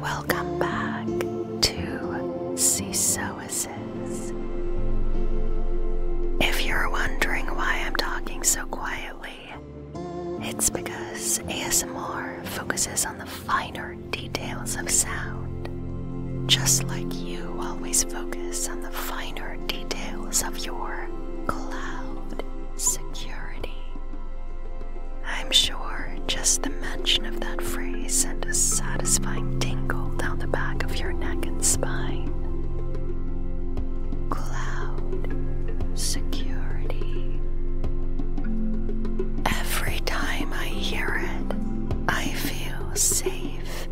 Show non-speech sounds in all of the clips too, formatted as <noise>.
Welcome back to Seasoises. If you're wondering why I'm talking so quietly, it's because ASMR focuses on the finer details of sound, just like you always focus on the finer details of your cloud security. I'm sure just the mention of that phrase sent a satisfying tingle down the back of your neck and spine. Cloud security. Every time I hear it, I feel safe,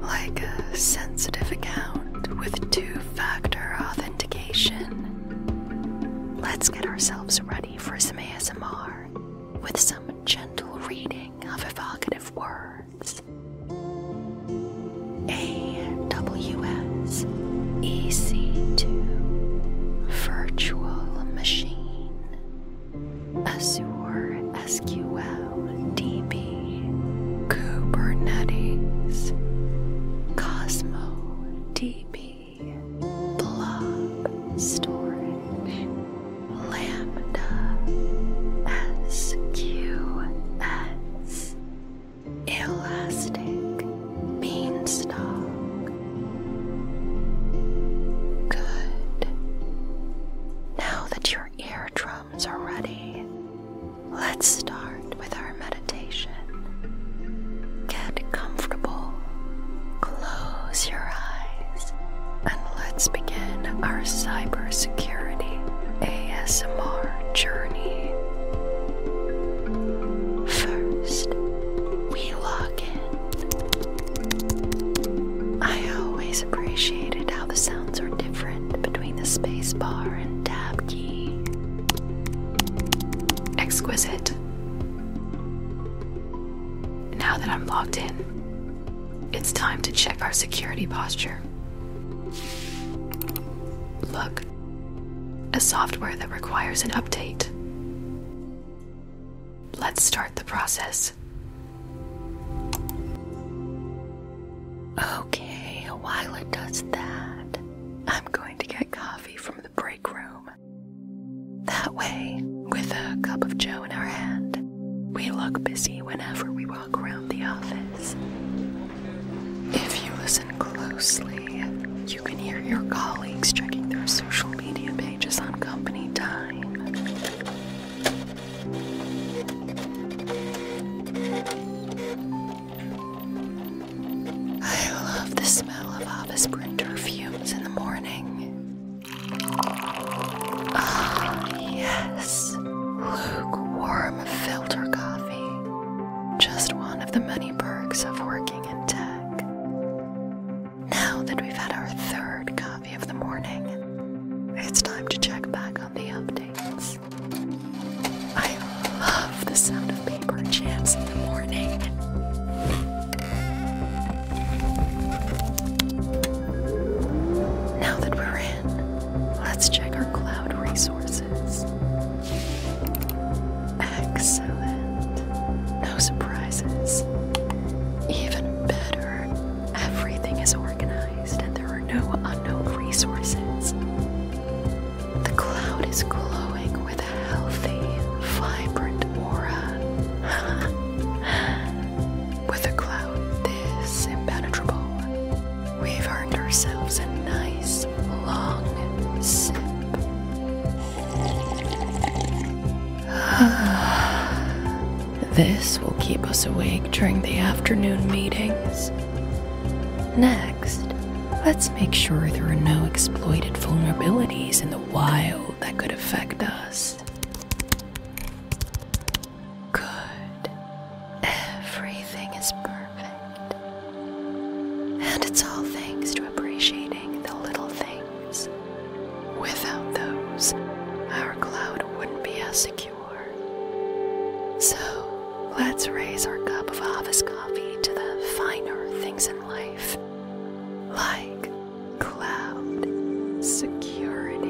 like a sensitive account with two factor authentication. Let's get ourselves ready for some ASMR with some gentle reading of evocative words. AWS EC2 Virtual Machine Azure SQL DB Kubernetes Cosmo DB, Blob Storage, Lambda, SQS, Elastic, Beanstalk, Good. Now that your eardrums are ready, Let's start with our meditation. Get comfortable, close your eyes, and let's begin our cybersecurity ASMR journey. First, we log in. I always appreciated how the sounds are different between the spacebar and tab key exquisite. Now that I'm logged in, it's time to check our security posture. Look, a software that requires an update. Let's start the process. Okay, while it does that, I'm going to get coffee from the break room. That way, with a cup of joe in our hand, we look busy whenever we walk around the office. If you listen closely, you can hear your colleagues checking their social media pages on company time. I love the smell of Avis perfumes in the morning. Ah, yes, lukewarm filter coffee. Just one of the many perks of working in tech. Now that we've had our third cup of the morning, it's time to check back on the updates. I love the sound of paper jams in the morning. Now that we're in, let's check our cloud resources. Excellent. No surprises. Even better, everything is organized and there are no unknown resources. The cloud is glowing with a healthy, vibrant aura. <laughs> with a cloud this impenetrable, we've earned ourselves a nice long sip. <sighs> this will keep us awake during the afternoon meetings. Next, let's make sure there are no exploited vulnerabilities in the wild that could affect us. Good. Everything is perfect. And it's all thanks to appreciating the little things. Without those, our cloud wouldn't be as secure. So let's raise our cup of Avis coffee to the finer things in life, like cloud security.